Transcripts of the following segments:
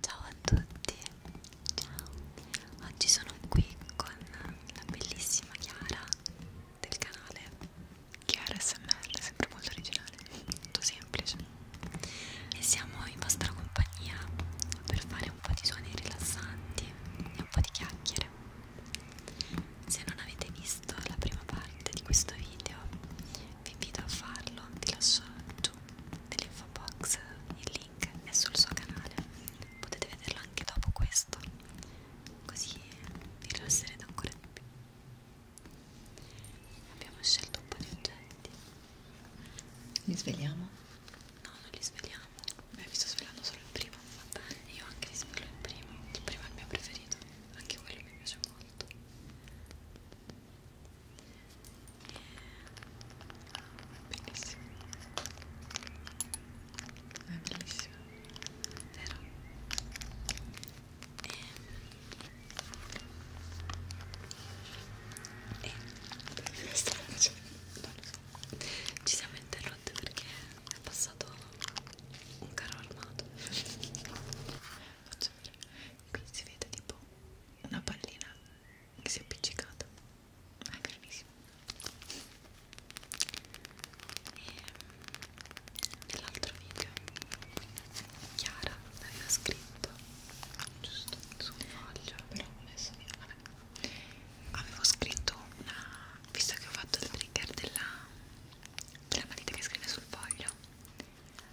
Ciao a tutti, ciao, oggi sono qui con la bellissima Chiara del canale Chiara SMR, sempre molto originale, molto semplice e siamo in vostra compagnia per fare un po' di suoni rilassanti e un po' di chiacchiere se non avete visto la prima parte di questo video vi invito a farlo, vi lascio giù nell'info box il link è sul suo canale potete vederlo anche dopo questo così vi rilasserete ancora di più abbiamo scelto un po' di oggetti li svegliamo? no, non li svegliamo beh, vi sto svegliando solo il primo io anche li sveglio il primo il primo è il mio preferito anche quello mi piace molto Bellissimo. È ah, bellissimo. Vero? E... Eh, e... Eh, stavo facendo... Non lo so. Ci siamo interrotte perché è passato un carro armato. Faccio vedere. Qui si vede tipo una pallina che si è appiccicata è carinissimo e nell'altro mm, video Chiara aveva scritto giusto su un foglio però ho messo via vabbè avevo scritto una visto che ho fatto il trigger della della matita che scrive sul foglio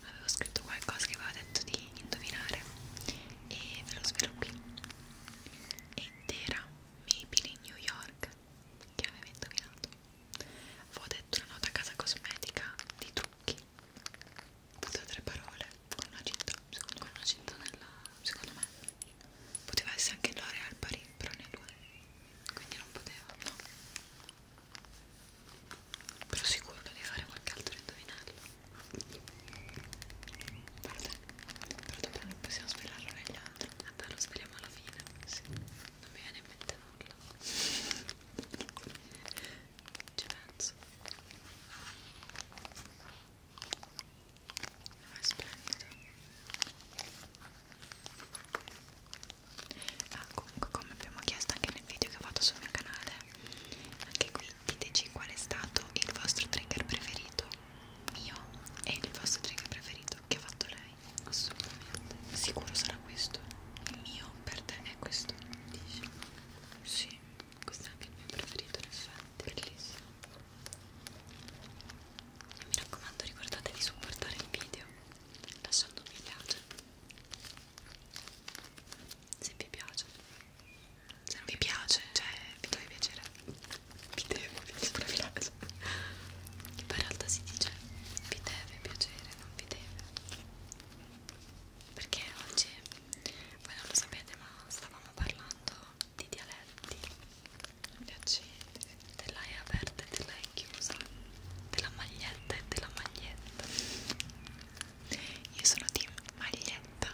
avevo scritto qualcosa che avevo detto di indovinare e ve lo svelo qui ed era Maybelline New York che aveva indovinato avevo detto una nota a casa cosmetica di trucchi tutte tre parole con una cinta secondo me una cinta nella, secondo me poteva essere anche L'Oreal Paris però ne due quindi non poteva no però sicuro di fare qualche altro indovinello Guarda, però dopo non possiamo svelarlo negli altri vabbè lo sveliamo alla fine sì. non mi viene in mente nulla ci penso ma è splendido ah, comunque come abbiamo chiesto anche nel video che ho fatto sul mio canale anche qui diteci qual è stato il vostro trigger preferito mio e il vostro trigger preferito che ha fatto lei assolutamente sicuro sarà questo il mio per te è questo dici? sì questo è anche il mio preferito in effetti bellissimo e mi raccomando ricordatevi di supportare il video lasciando un mi piace se vi piace se non vi piace, cioè vi deve piacere vi devo piacere poi in realtà si dice vi deve piacere, non vi deve perché oggi voi non lo sapete ma stavamo parlando di dialetti piacenti della E aperta e della E chiusa della maglietta e della maglietta io sono team maglietta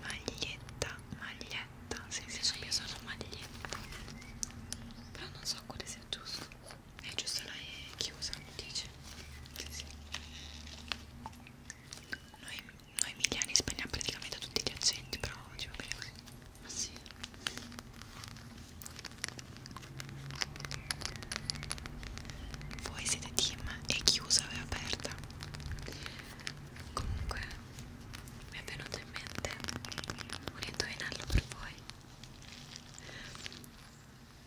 maglietta maglietta sì sì, sì. io sono maglietta però non so quale sia giusto è giusto la è chiusa dice sì, sì. Noi, noi emiliani spegniamo praticamente tutti gli accenti però oggi va bene così ma sì voi siete team e chiusa e aperta. Comunque mi è venuto in mente un indovinello per voi.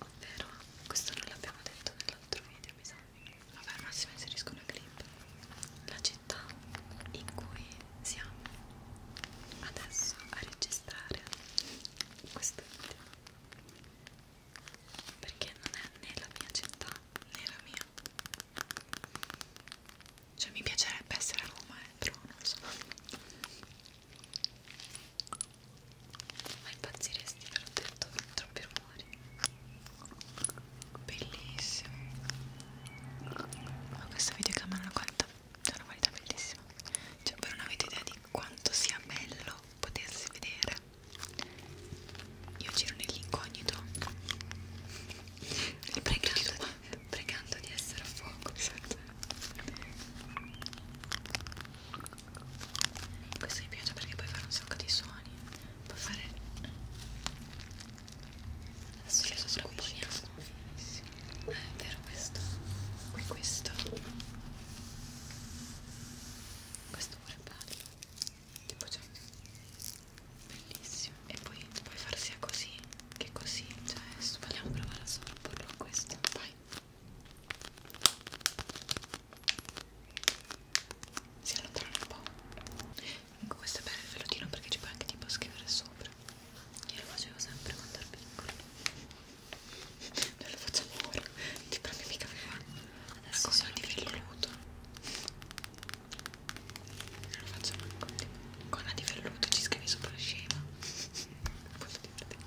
Ovvero, questo non l'abbiamo detto nell'altro video, mi sa. Vabbè, al massimo inserisco una clip. La città in cui siamo adesso a registrare questo video perché non è né la mia città né la mia cioè mi piacerebbe essere a Roma eh, però non lo so ma impazziresti ve l'ho detto troppi rumori bellissimo ma questa videocamera la qualità è una qualità bellissima cioè voi non avete idea di quanto sia bello potersi vedere io giro nell'incognito pregando, pregando di essere a fuoco esatto. questo mi piace perché puoi fare un sacco di suoni puoi fare adesso sì, lo scomponiamo sì è vero questo qui questo questo pure è bello tipo cioè bellissimo e poi puoi far sia così che così cioè adesso vogliamo provare a sovrapporlo a questo vai si allontana un po' comunque questo è bello il velotino perché ci puoi anche tipo scrivere sopra io lo facevo sempre quando ero piccolo. Non lo facciamo ora, ti prendi mica qua. Adesso sono ecco, di velluto. Non lo faccio manco con la di velluto, ci scrivi sopra la scema.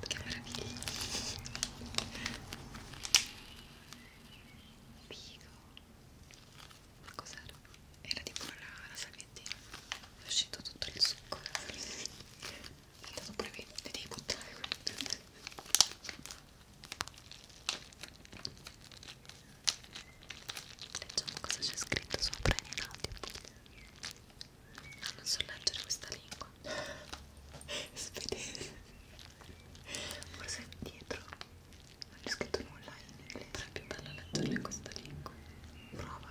Che meraviglia. Figo. Ma cos'era? Era tipo la, la sagra quindi è uscito tutto il succo è andato pure qui, li devi buttare leggiamo cosa c'è scritto sopra in audio ah, non so leggere questa lingua svedese forse dietro non c'è scritto nulla in inglese però è più bello leggerlo in questa lingua prova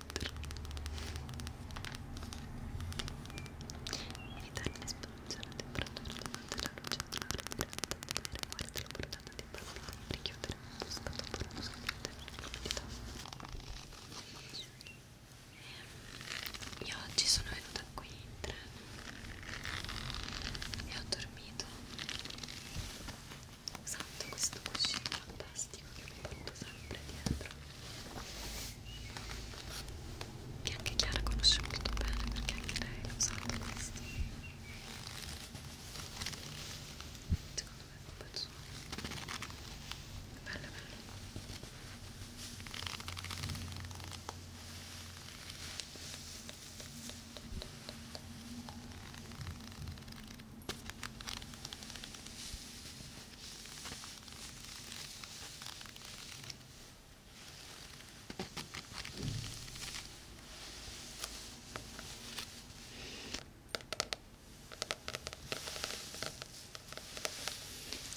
Militare in espansione a temperatura durante la luce solare diretta delle guardie lavorate di parlare e richiudere un busca dopo uno scadente Io oggi sono venuta qui in treno e ho dormito usando questo cuscino fantastico che mi porto sempre dietro che anche Chiara conosce molto bene perché anche lei ha usato questi secondo me è un bel suono bello bello Ecco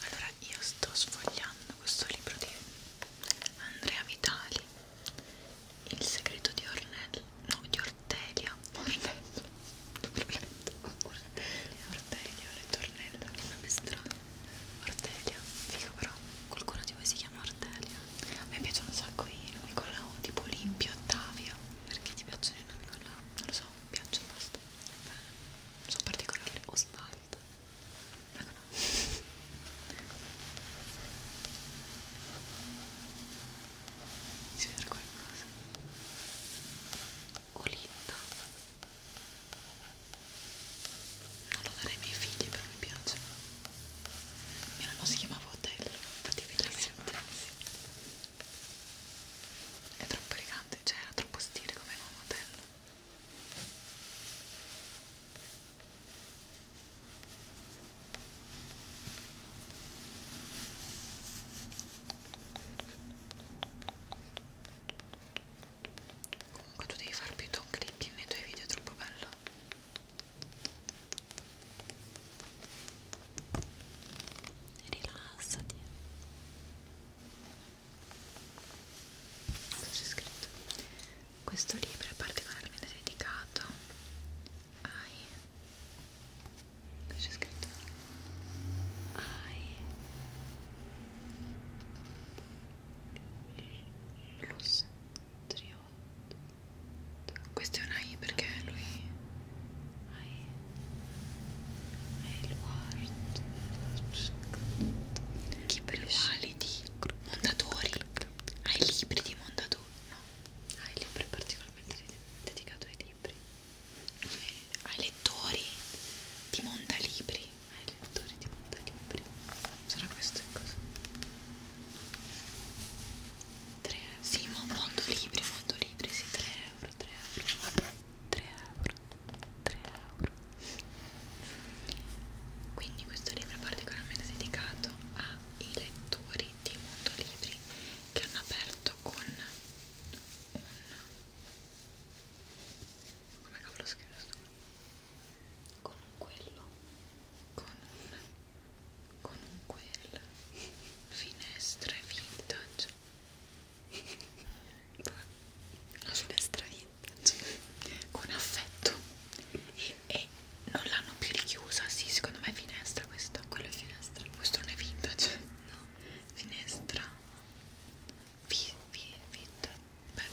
allora io sto sfogliando questo libro di Andrea Vitali, Il segreto di Ornella, no di Ortelia, Ornella, Ortelia, Ortelia, le tornella, che nome strano, Ortelia, figo però, qualcuno di voi si chiama Ortelia, a me piacciono un sacco i nomi con la O, tipo Olimpio, Ottavia, perché ti piacciono i nomi con la O, non lo so, mi piacciono, basta, Beh, sono particolari, o smalto, ma no si vede qualcosa Olinda non lo darei ai miei figli però mi piace mia mamma si chiamava Otello infatti è bellissimo è troppo elegante cioè era troppo stile come nome Otello Comunque tu devi far più top clipping nei tuoi video, è troppo bello. Rilassati. Cosa c'è scritto? Questo libro è particolarmente dedicato ai Qui c'è scritto AI Plus Triot. Questo è un AI perché lui AI è il Ward Chi per quali di Mondadori Hai libri di Mondadori? No, hai libri particolarmente dedicati ai libri ai lettori di Mondalibri ai lettori di Mondalibri sarà questo in cosa? 3 euro sì ma Mondolibri Mondolibri sì 3 euro 3 euro 3 euro 3 euro quindi questo libro è particolarmente dedicato ai lettori di Mondolibri che hanno aperto fatto con un come cavolo scrivo sto? con un quello con un con un quel finestre vintage la finestra vintage con affetto e, e non l'hanno più richiusa, sì secondo me è finestra finestra questo? Quello è finestra. Questo non è vintage. No, finestra. Vi, vi, vintage. Beh,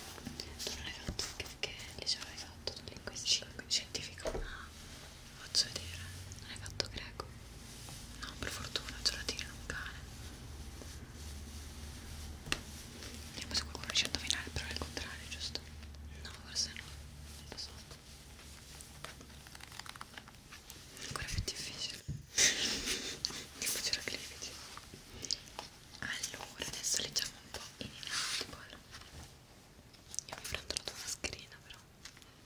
tu non l'hai fatto perché liceo l'hai fatto linguistica. Scientifico. Ah, faccio vedere. Non hai fatto greco? No, per fortuna ce la tira un cane. Vediamo se qualcuno riesce a indovinare, però è il contrario, giusto? No, forse no. Lo so ancora più difficile tipo c'era cliviti allora adesso leggiamo un po' in inaudible io mi prendo la tua mascherina però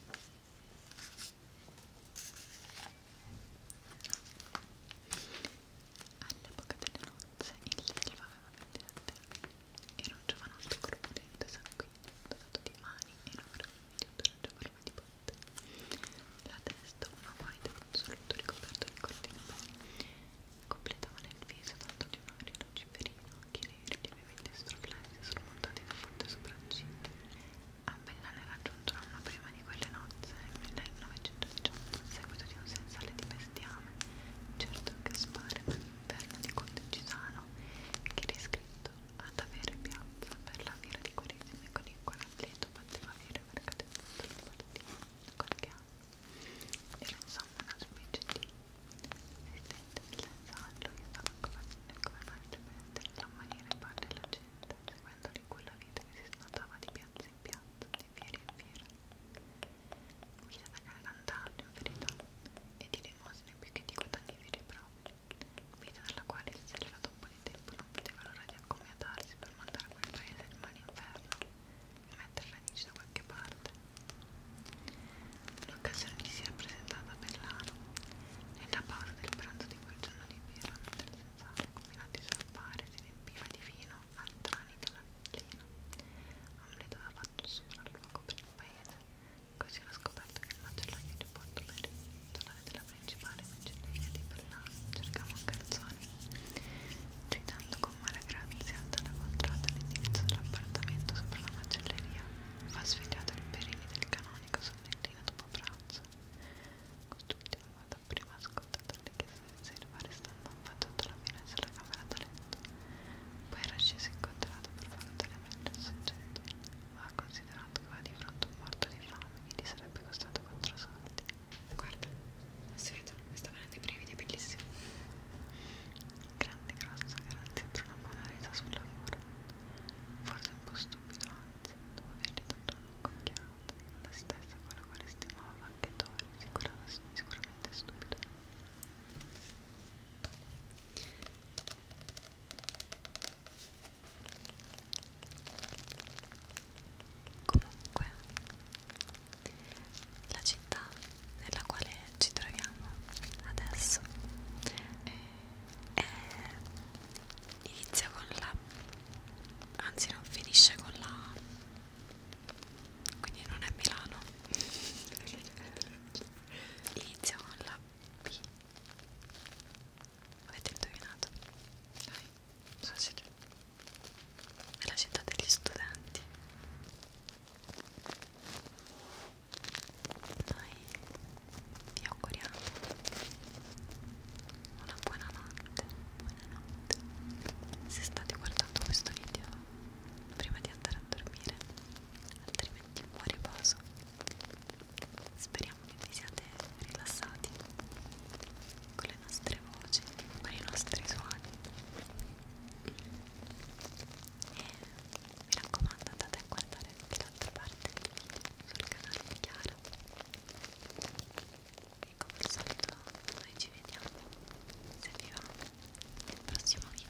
alla bocca delle nozze il livello aveva vendente era un giovanotto corpulento e sanguigno, dotato di mani enormi di un'orange forma di botte. La testa, una guaita con un solito ricoperto di corti capelli, completavano il viso tanto di un ori luciferino, occhi neri lievemente stroflessi, sormontati da forti sopracciglia. A Bellane raggiunto una prima di quelle nozze nel 1918, a seguito di un sensale di bestiame, certo che spare ma l'inverno di Conte Cisano italiano che era ad avere piazza per la fiera di Quaresima con il quale Atleto poteva avere mercato in tutta Lombardia da qualche anno era insomma una specie di esistente nell'ensaggio che stava come marciamente la maniera in parte della gente seguendo di quella vita che si snodava di piazza in piazza, di fiera in fiera mi da cantare in verità limosne più che di guadagni veri e propri, vita dalla quale si serviva da un po' di tempo non poteva allora di accomodarsi per mandare a quel paese il male inferno e mettere radici da qualche parte. L'occasione gli si era presentata a Bellano, nella pausa del pranzo di quel giorno di birra, mentre il senzale, combinati sul pare, si riempiva di vino al tranito dall'allino. Amleto aveva fatto sopra il luogo per il paese Così ho scoperto che il macellaio di Porto Verde, titolare della principale macelleria di Berlano, cercava un calzone. Citando con mala grazia dalla contrada l'indirizzo dell'appartamento sopra la macelleria, fa svegliato il perini del canonico sonnellino dopo pranzo. Quest'ultima volta prima ascoltato le chiese di riserva, restando affacciato la fine sulla camera dalle poi era sceso incontrato per valutare meglio il soggetto, ma ha considerato che aveva di fronte un morto di fame che gli sarebbe costato 4 soldi. Guarda, non si vede, mi sta venendo i brividi, è bellissimo. Grande, grossa, grazie per una buona resa sul lavoro. Forse un po' stupido, anzi, dopo avergli dato un'occhiata, la stessa con la quale stimava anche Tori, sicuramente stupido. Comunque, la città nella quale ci troviamo adesso eh, è, inizia con la, anzi non finisce con la quindi non è Milano inizia con la P avete indovinato? dai, facile è la città degli studenti noi vi auguriamo una buona notte buonanotte se state guardando questo video prima di andare a dormire altrimenti buon riposo speriamo che vi siate rilassati con le nostre voci con i nostri suoni e mi raccomando andate a guardare anche l'altra parte del video sul canale di Chiara e come al solito noi ci vediamo se vi va nel prossimo video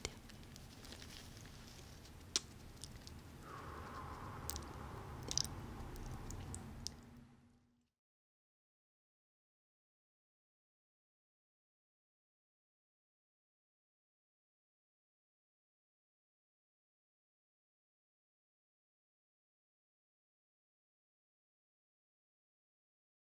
Ciao.